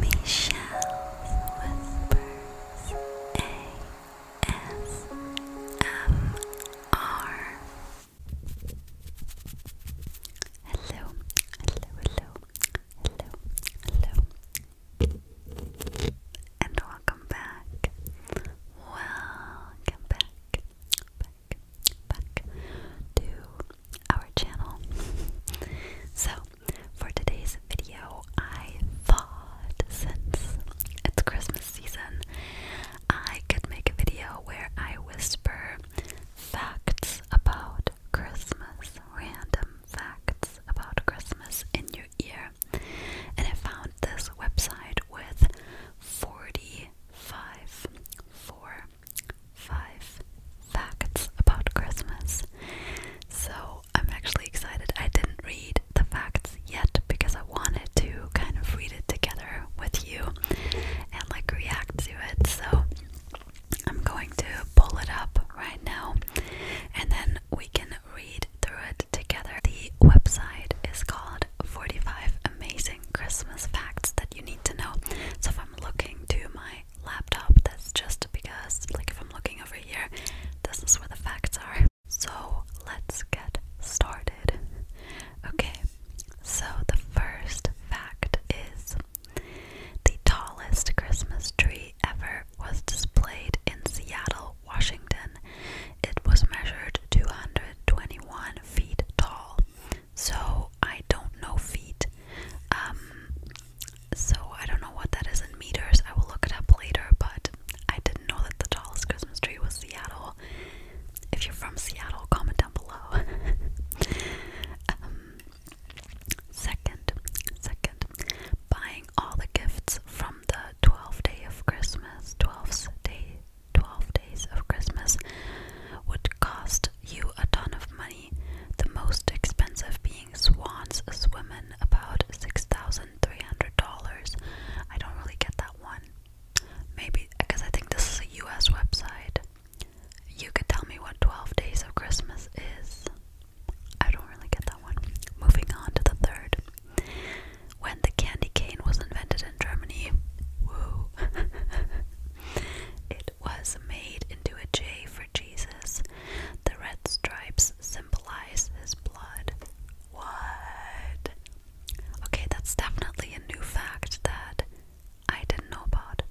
Michelle's Whispers ASMR. Hello, hello, hello, hello, hello, and welcome back. Welcome back, back, back to our channel. so for today's video, I thought since it's Christmas season, I could make a video where I whisper facts about Christmas, random facts about Christmas in your ear. And I found this website with 45 four five facts about Christmas. So I'm actually excited. I didn't read the facts yet because I wanted to kind of read it together with you and like react to it. So I'm going to pull it up right now and then we can read through it together. The website is called 45 Amazing Christmas Facts That You Need to Know. So if I'm looking to my laptop. That's just because, like, if I'm looking over here, this is where the facts are. So let's get started. Okay, so the first fact is the tallest Christmas tree ever was displayed in Seattle, Washington. It was measured 221 feet tall. So I don't know feet. Um, so I don't know what that is in meters. I will look it up later, but I didn't know that the tallest Christmas tree was Seattle. If you're from Seattle, comment down below. Um, second, second, buying all the gifts from the 12th day of Christmas, 12th day, 12 days of Christmas would cost you a ton of money the most expensive being Swans swimming about $6,300. I don't really get that one. Maybe, because I think this is a US website. You could tell me what 12 Days of Christmas is. I don't really get that one. Moving on to the third. When the candy cane was invented in Germany, woo, it was made into a J for Jesus. The red stripes symbolize his blood. What? Okay, that's definitely a new fact that I didn't know about.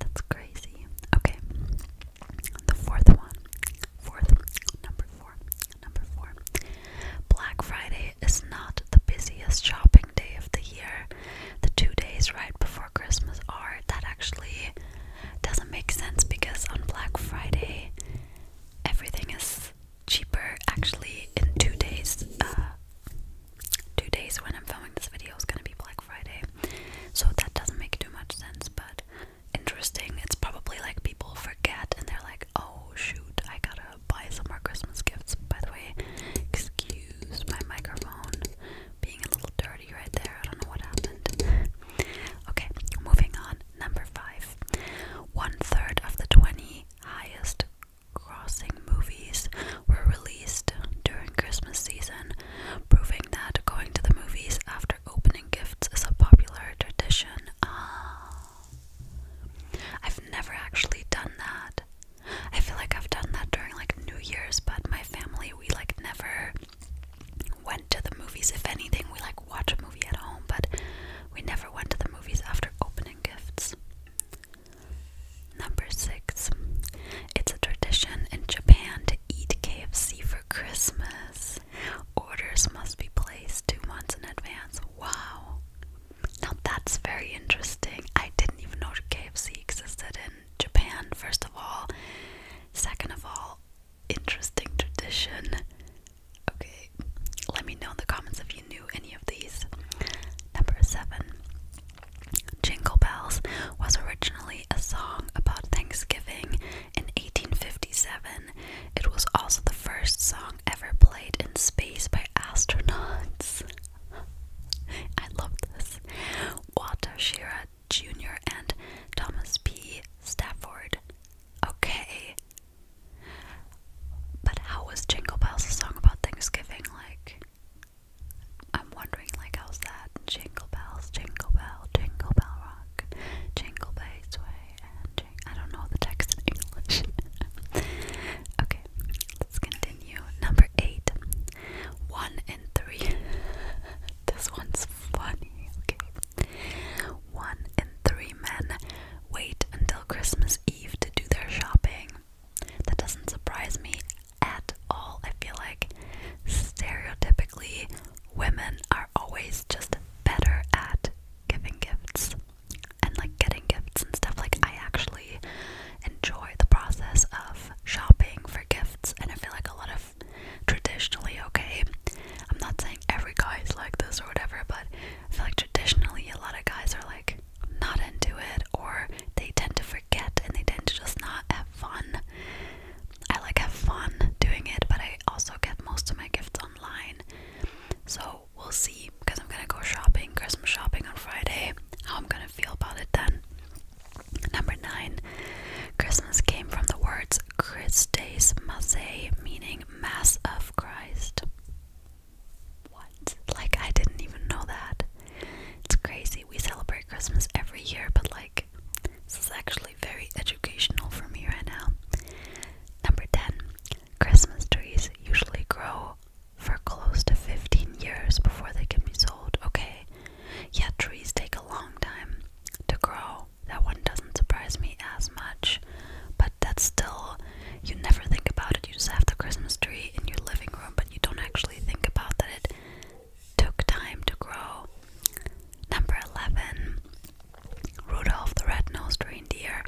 That's crazy. Okay. The fourth one. Fourth. Number four. Number four. Black Friday is not the busiest shopping day of the year. The two days right before Christmas are. That actually doesn't make sense because on Black Friday everything is cheaper. Actually, in two days, uh, two days when I'm filming this video is gonna be Black Friday, so that doesn't make too much sense. But interesting, it's probably like people forget and they're like, oh shoot, I gotta buy some more Christmas gifts. By the way, excuse my microphone being a little dirty okay, moving on. Number five. One third of the 20 highest crossing movies were released during Christmas season, proving that going to the movies after opening gifts is a popular tradition. Ah. I've never actually done that. I feel like I've done that during like New Year's, but my family we like never went to the movies. If anything, we like watch a movie at home, but we never went to the movies after opening gifts. Number six, it's a tradition in Japan to eat KFC for Christmas. Orders must be placed two months in advance. Wow. Now that's very interesting. I didn't even know KFC existed in Japan, first of all, Second of all, interesting tradition. Okay, let me know in the comments if you knew any of these. Number seven, Jingle Bells was originally a song about Thanksgiving in 1857. It was also the first song ever played in space by astronauts. I love this. Walter Shearer Jr. and Thomas P. Stafford. Okay. But how was Jingle Bells a song about Thanksgiving? Like, I'm wondering, like, how's that? Jingle Bells, Jingle Bell, Jingle Bell Rock, Jingle Bass Way, and jing I don't know the text in English. okay, let's continue. Number eight. One in three. This one's funny, okay? One in three men wait until Christmas Eve to do their shopping. That doesn't surprise me at all. I feel like stereotypically, women are always just better at giving gifts and like getting gifts and stuff. Like, I actually enjoy the process of shopping for gifts, and I feel like a lot of traditionally, okay? I'm not saying every guy is like this or whatever, but I feel like traditionally a lot of guys are like not into it or they tend to forget and they tend to just not have fun. I like have fun doing it, but I also get most of my gifts online. So we'll see because I'm gonna go shopping, Christmas shopping on Friday, how I'm gonna feel about it then. Number nine, Christmas came from the words Christes Masse, meaning Mass of Christ. What? Like, I didn't even know that. It's crazy. We celebrate Christmas every year, but like, this is actually very educational for me right now. Number 10, Christmas trees usually grow for close to 15 years before they can be sold. Okay, Yet trees take a long time to grow. That one doesn't surprise me as much. But that's still, you never think about it. You just have the Christmas tree in your living room, but you don't actually think about that it took time to grow. Number 11 Rudolph the Red-Nosed Reindeer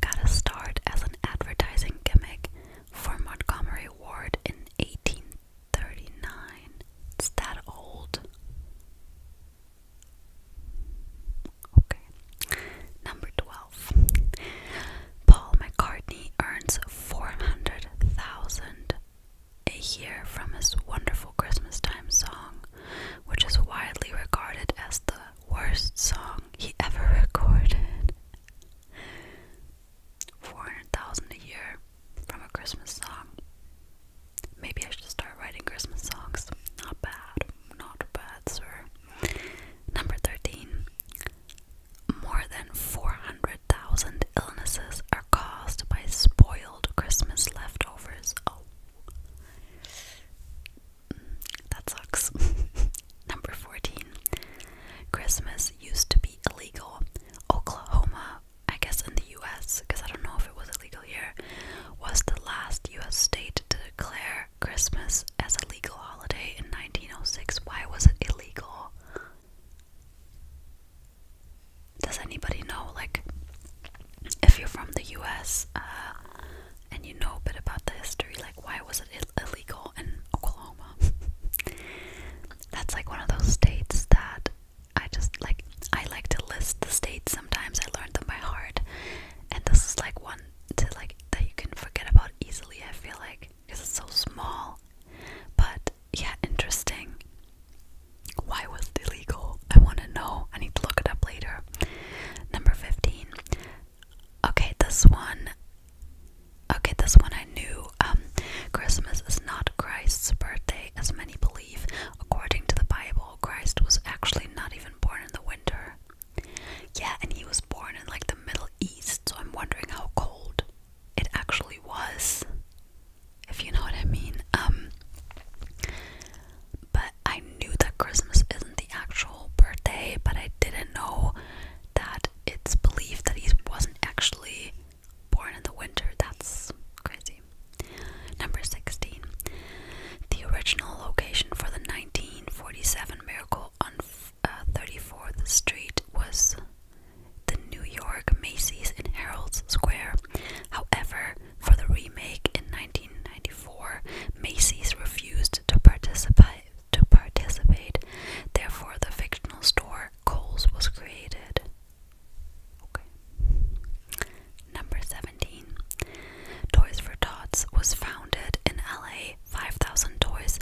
got a start as an advertising gimmick for Montgomery Ward in 18 39. It's that old. Okay. Number 12. Paul McCartney earns 400,000 a year from his wonderful Christmas time song, which is widely regarded as the worst song he ever recorded. 400,000 a year from a Christmas song. Maybe I should start writing Christmas songs. Not bad, not bad, sir. Number 13. More than 400,000 illnesses are caused by spoiled Christmas leftovers. Oh. Mm, that sucks. Number 14. Christmas used to be illegal. Oklahoma I guess in the US, because I don't know if it was illegal here, was the last US state to declare Christmas as a legal holiday in 1906. Why was it illegal? Does anybody know? Like, if you're from the US uh, and you know a bit about the history, like, why was it illegal in Oklahoma? That's like one of those states that I just like I like to list the states sometimes. I learned them by heart, and this is like one to like that you can forget about easily. I feel like because it's so small, but yeah, interesting. Why was it illegal? I want to know. I need to look it up later. Number fifteen. Okay, this one. Okay, this one I knew. Um, Christmas is not Christ's birthday, as many believe according to the Bible, Christ was actually not even born in the winter. Yeah, and he was born in like the Middle East, so I'm wondering how cold it actually was, if you know what I mean. Um, but I knew that Christmas isn't the actual birthday, but I didn't know that it's believed that he wasn't actually born in the winter. That's crazy. Number 16. The original location for the 1947 miracle on 34th uh, Street was the New York Macy's in Herald Square. However, for the remake in 1994, Macy's refused to participate. To participate, therefore, the fictional store Kohl's was created. Okay. Number 17. Toys for Tots was founded in LA. 5,000 toys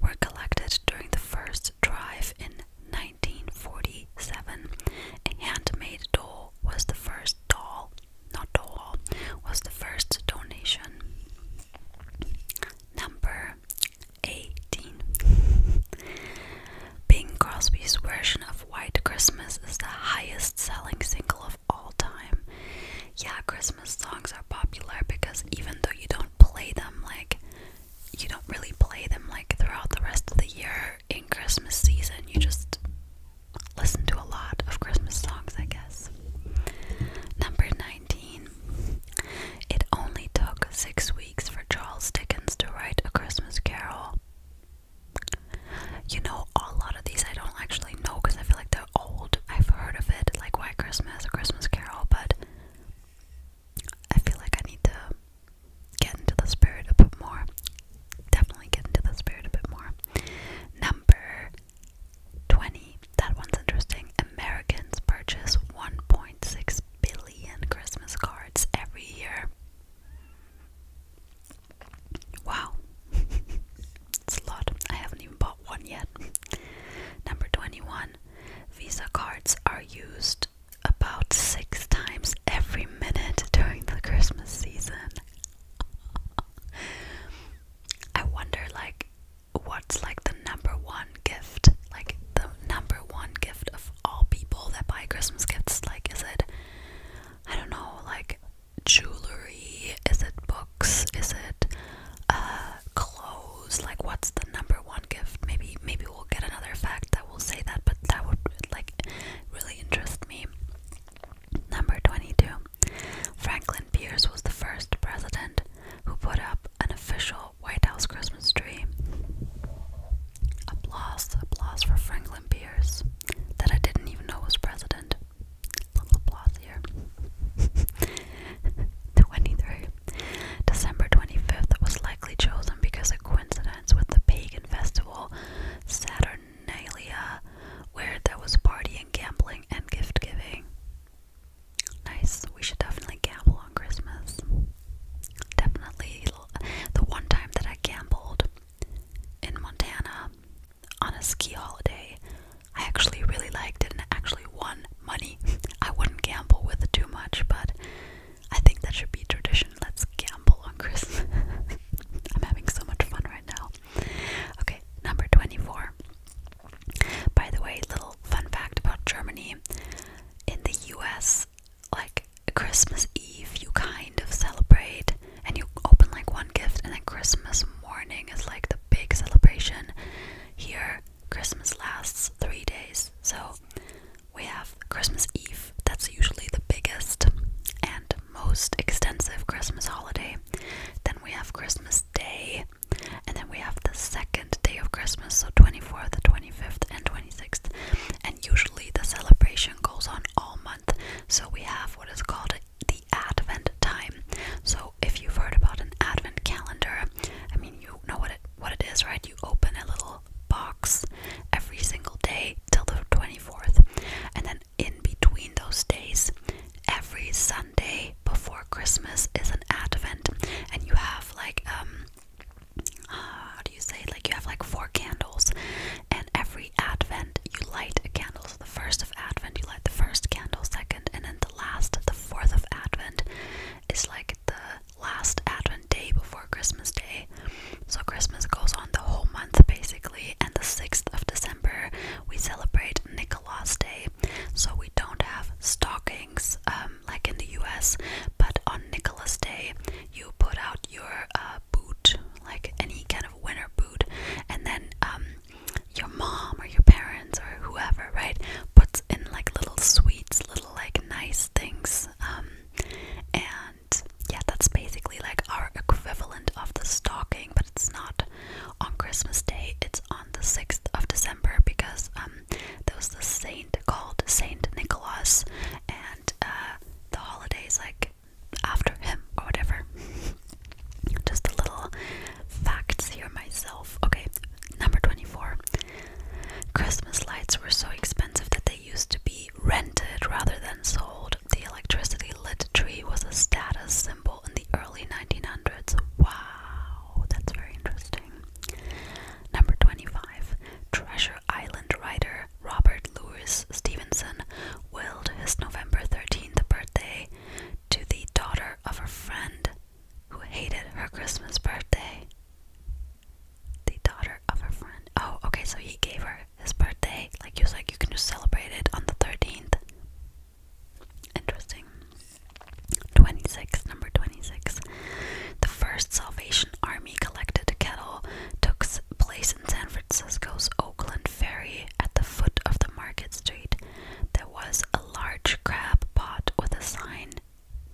were collected during the first drive in 1947. A handmade doll was the first doll, not doll, was the first donation. Number 18. Bing Crosby's version of White Christmas is the highest selling single of all time. Yeah, Christmas songs are popular because even though you don't play them like you don't really play them like throughout the rest of the year in Christmas season, you just listen to a lot of Christmas songs, I guess. Number 19. It only took six weeks for Charles Dickens to write A Christmas Carol, you know, a lot of these I don't actually know because I feel like they're old. I've heard of it, like White Christmas or Christmas Carol, but I feel like I need to get into the spirit a bit more. Definitely get into the spirit a bit more. Number 20. That one's interesting. Americans purchase 1.6 billion Christmas cards every year. Wow. it's a lot. I haven't even bought one yet. Number 21. Visa cards are used about six times every minute during the Christmas season. I wonder, like, what's like the number one gift? Like, the number one gift of all people that buy Christmas gifts? Like, is it, I don't know, like jewelry? Is it books? Is it uh, clothes? Like, what's the number one gift? Maybe, maybe we'll get another fact that will say that, but that would like really interest me. Number 22 Franklin Pierce was the first president who put up an official White House Christmas tree. Applause, applause for Franklin Pierce that I didn't even know was president. Little applause here. 23. December 25th was likely chosen because of coincidence with the pagan festival Saturnalia, where there was partying, gambling, and gift giving. Nice. We should definitely gamble on Christmas. Definitely the one time that I gambled in Montana on a ski holiday, I actually really liked it and actually won money. I wouldn't gamble with it too much, but I think that should be tradition. Let's gamble on Chris. I'm having so much fun right now. Okay, number 24. By the way, little fun fact about Germany. In the US, like Christmas Eve you kind of celebrate and you open like one gift and then Christmas morning is like the big celebration. Here Christmas lasts three days. So we have Christmas Eve, that's usually the biggest and most extensive Christmas holiday. Then we have Christmas Day, and then we have the second day of Christmas, so 24th, 25th, and 26th. And usually the celebration goes on all month. So we have what is called the Advent time. So if you've heard about an Advent calendar, I mean you know what it what it is, right? You open a little box every single day till the 24th. And then in between those days, every Sunday before Christmas is an Advent and you have like um uh, how do you say Like you have like four candles, and every Advent you light a candle. So the first of Advent you light the first candle, second, and then the last, the fourth of Advent, is like the last Advent day before Christmas Day. So Christmas goes on the whole month basically, and the sixth of December we celebrate Nicholas Day. So we don't have stockings um, like in the U.S., but on Nicholas Day you put out your uh, boot, like any kind of winter boot, and then um, your mom or your parents or whoever, right, puts in like little sweets, little like nice things, um, and yeah, that's basically like our equivalent of the stocking, but it's not on Christmas Day. It's on the sixth of December because um, there this saint called Saint Nicholas, and uh, the holidays like after him or whatever. Just a little facts here myself. Okay, number 24. Christmas lights were so expensive that they used to be rented rather than sold. The electricity lit tree was a status symbol in the early 1900s. Wow, that's very interesting. Number 25. Treasure Island writer Robert Louis Stevenson willed his November 13th birthday to the daughter of a friend who hated her Christmas birthday. The daughter of a friend. Oh, okay, so he gave her his birthday. Like, he was like, you can just celebrate it on the 13th. Interesting. 26, number 26. The first Salvation Army collected kettle took place in San Francisco's Oakland Ferry at the foot of the Market Street, there was a large crab pot with a sign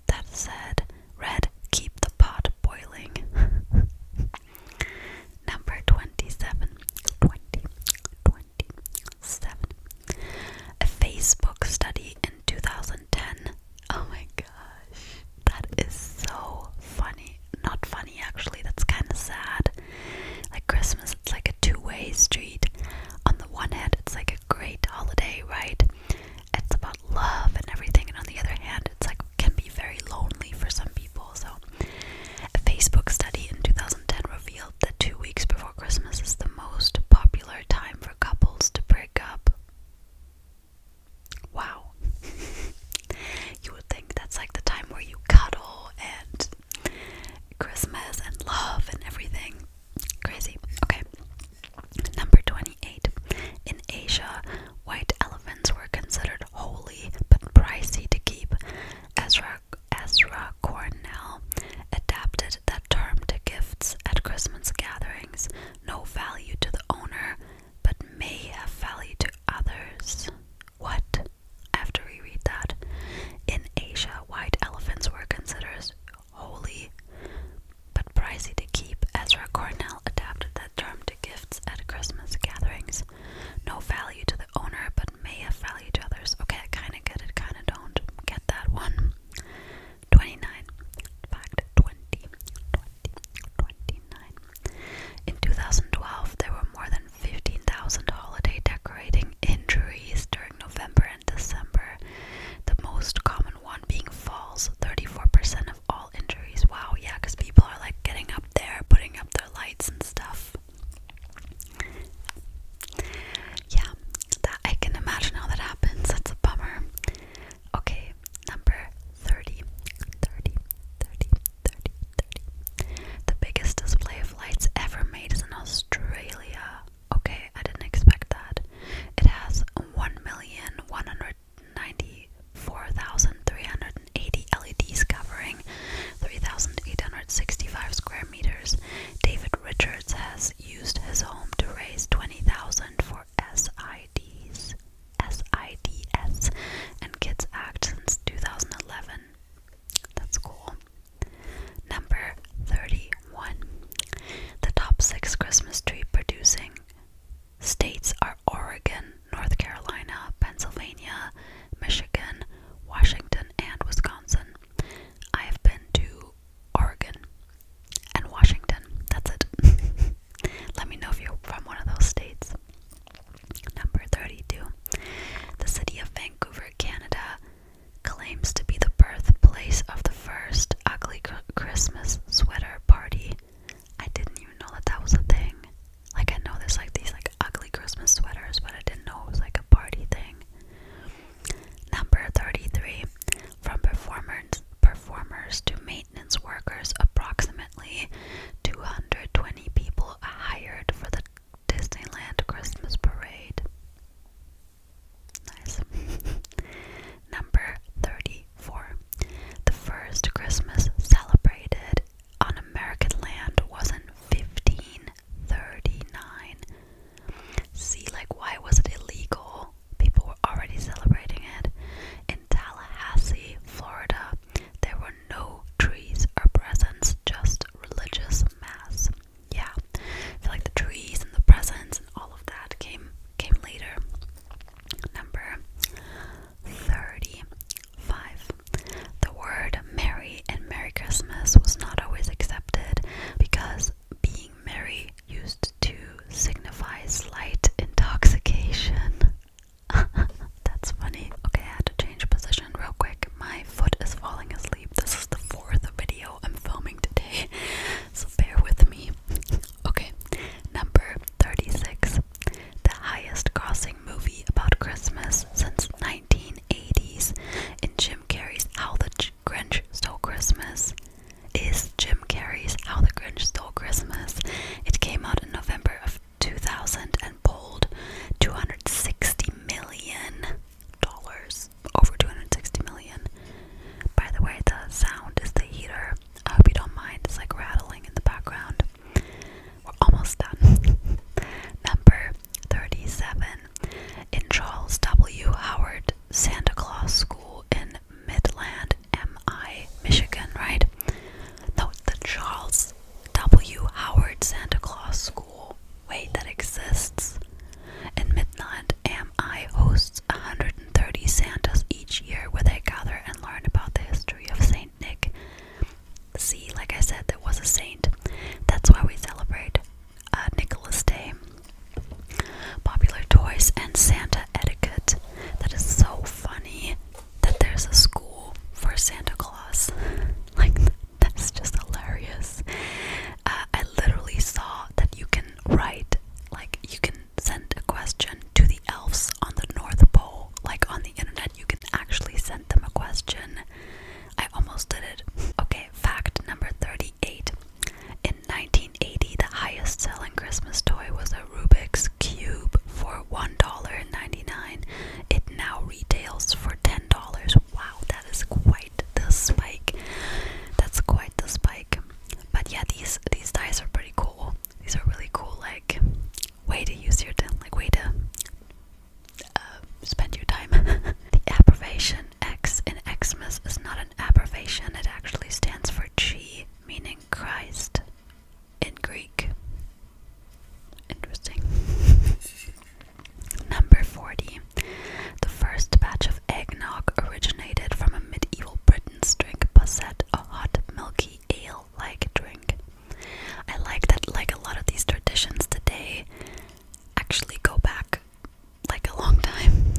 that said, Red, keep the pot boiling. Number 27. A Facebook study in 2010 Oh my gosh. That is so funny. Not funny actually, that's kind of sad. Like Christmas, it's like a two way street. On the one hand, it's like a great holiday, right? It's about love and everything, and on the other hand, it's like can be very lonely for some people. So, a Facebook study in 2010 revealed that two weeks before Christmas is the most popular time for couples to break up. Wow. you would think that's like the time where you cuddle and Christmas and love and everything. Crazy. Okay. Number 28. In Asia, white elephants were considered holy but pricey to keep. Ezra, Ezra Cornell adapted that term to gifts at Christmas gatherings, no value to the owner, but may have value to others. What? After we read that, in Asia, white elephants were considered holy, but pricey to keep. Ezra Cornell adapted that term to gifts at Christmas gatherings. No value to the owner, but may have value to others. Okay, I kind of get it, kind of don't get that one. 29. Fact 20. 20. 29. In 2012, there were more than 15,000 holiday decorating injuries during November and December, the most common one being falls, 34% of all injuries. Wow, yeah, because people are like getting up there, putting up their lights and stuff. Yeah, I can imagine how that happens. That's a bummer. Okay, Number 30, The biggest display of lights ever made is in Australia. Okay, I didn't expect that. It has 1,194,380 LEDs covering 3,865 square meters. David Richards has used his home to raise 20,000 for SIDs. SIDS and Kids Act since 2011. That's cool. Number 31. The top six Christmas tree producing states are Oregon, North Carolina, Pennsylvania, Michigan, Washington, and Wisconsin. I have been to Oregon and Washington. That's it. Let me know if you're from one of those states. Number 32. The city of Vancouver, Canada, claims to be the birthplace of the first ugly Christmas sweater party. I didn't even know that that was a thing. Like I know there's like these like ugly Christmas sweaters, but I didn't know it was like a party thing. Number 33. From performers performers to maintenance workers, approximately 220 people hired for the Disneyland Christmas Parade. Nice. Number 34. The first Christmas celebrated on American land was in 1539. See, like, why was it illegal? People were already celebrating it. Tallahassee, Florida, there were no trees or presents, just religious mass. Yeah, feel like the trees and the presents and all of that came came later. Number thirty-five. The word "Merry" and "Merry Christmas" was not always accepted because being merry used to signify slight intoxication. That's funny. Okay, I had to change position real quick. My foot is falling asleep. This is the fourth video I'm filming today, so bear with me. Okay, number 36. The highest grossing movie about Christmas since 1980s in Jim Carrey's How the Grinch Stole Christmas is Jim Carrey's How the Grinch Stole Christmas. It came out in November of 2000 and polled 260 million dollars, over 260 million. By the way, the sound is the heater. I hope you don't mind. It's like rattling in the background. We're almost done. Number 37. In Charles W. Howard Santa Claus School in Midland, MI, Michigan, right? No, it's the Charles W. Howard Santa Claus School. way that exists. In Midland, AMI hosts 130 Santas each year where they gather and learn about the history of St. Nick. See, like I said, there was a saint. That's why we celebrate uh, Nicholas Day. Popular toys and Santa etiquette. That is so funny that there's a school for Santa Claus. like, that's just hilarious. Uh, I literally saw that you can write, like, you can send a question to the elves on the North Pole. Like, on the internet, you can actually send them a question. I almost did it. Okay, fact number 38. In 1980, the highest selling Christmas toy was a Rubik's Cube for $1.99. It now retails for $10. Wow, that is quite the spike. That's quite the spike. But yeah, these these dice are pretty cool. These are really cool, like way to use your time, like way to uh, spend your time. the abbreviation X in Xmas is not an abbreviation. It actually stands for G, meaning Christ in Greek. Interesting. Number 40. The first batch of eggnog originated from a medieval Britain's drink posset, a hot, milky, ale like drink. I like that, like a lot of these traditions today, actually go back like a long time.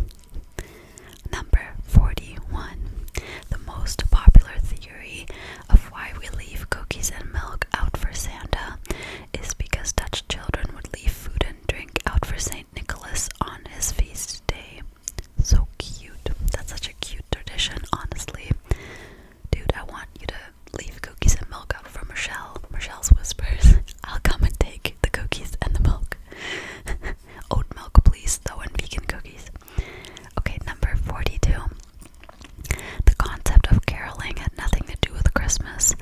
Number 41. The most popular theory of why we leave cookies and milk out for Santa is because Dutch children would leave food and drink out for St. Nicholas on his feast day. So cute. That's such a cute tradition, honestly. Dude, I want you to leave cookies and milk out for Michelle. Michelle's whispers. I'll come and take the cookies and the milk. Oat milk, please, though, and vegan cookies. Okay, number 42. The concept of caroling had nothing to do with Christmas.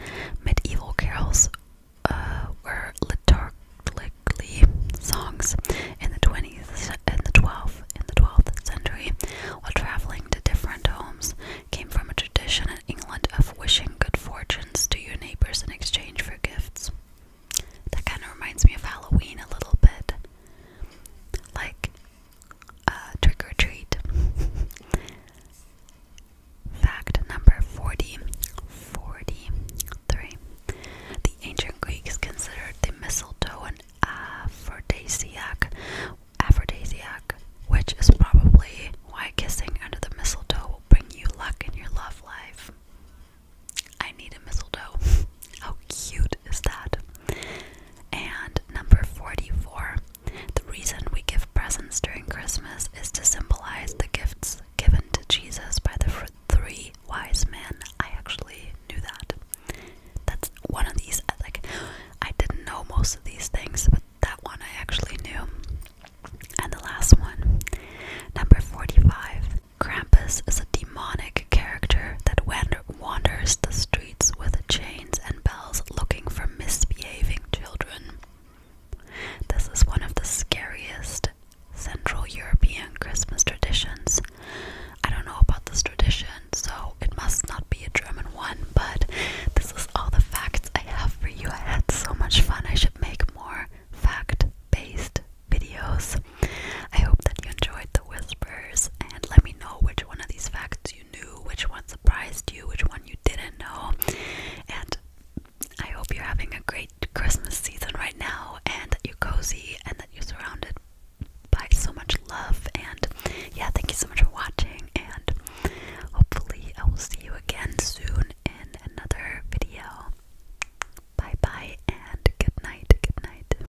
Medieval carols uh, were liturgically songs in the 20th and the 12th in the 12th century while traveling to different homes came from a tradition in England of wishing good fortunes to your neighbors in exchange for gifts. That kind of reminds me of Halloween a little bit like uh, trick or treat. Fact number 40 The ancient Greeks considered the mistletoe an aphrodisiac, aphrodisiac, which is probably why kissing under the mistletoe will bring you luck in your love life. I need a mistletoe. How cute is that? And number 44. The reason we give presents during Christmas is to symbolize the gifts given to Jesus by the three wise men. I actually knew that. That's one of these, like, I didn't know most of these things, but that one I actually knew. And the last one, number 45. Krampus is a demonic character that went wanders the streets with chains and bells looking for misbehaving children. This is one of the scariest Central European Christmas traditions. I don't know about this tradition, so it must not be a German one, but this is all the facts I have for you. I had so much fun, I should make more fact based videos. I hope that you enjoyed the whispers and let me know which one of these facts you knew, which one surprised you, which one you didn't know. And I hope you're having a great Christmas season right now and that you're cozy and that you're surrounded by so much love. And yeah, thank you so much for watching. And hopefully, I will see you again soon in another video. Bye bye and good night. Good night.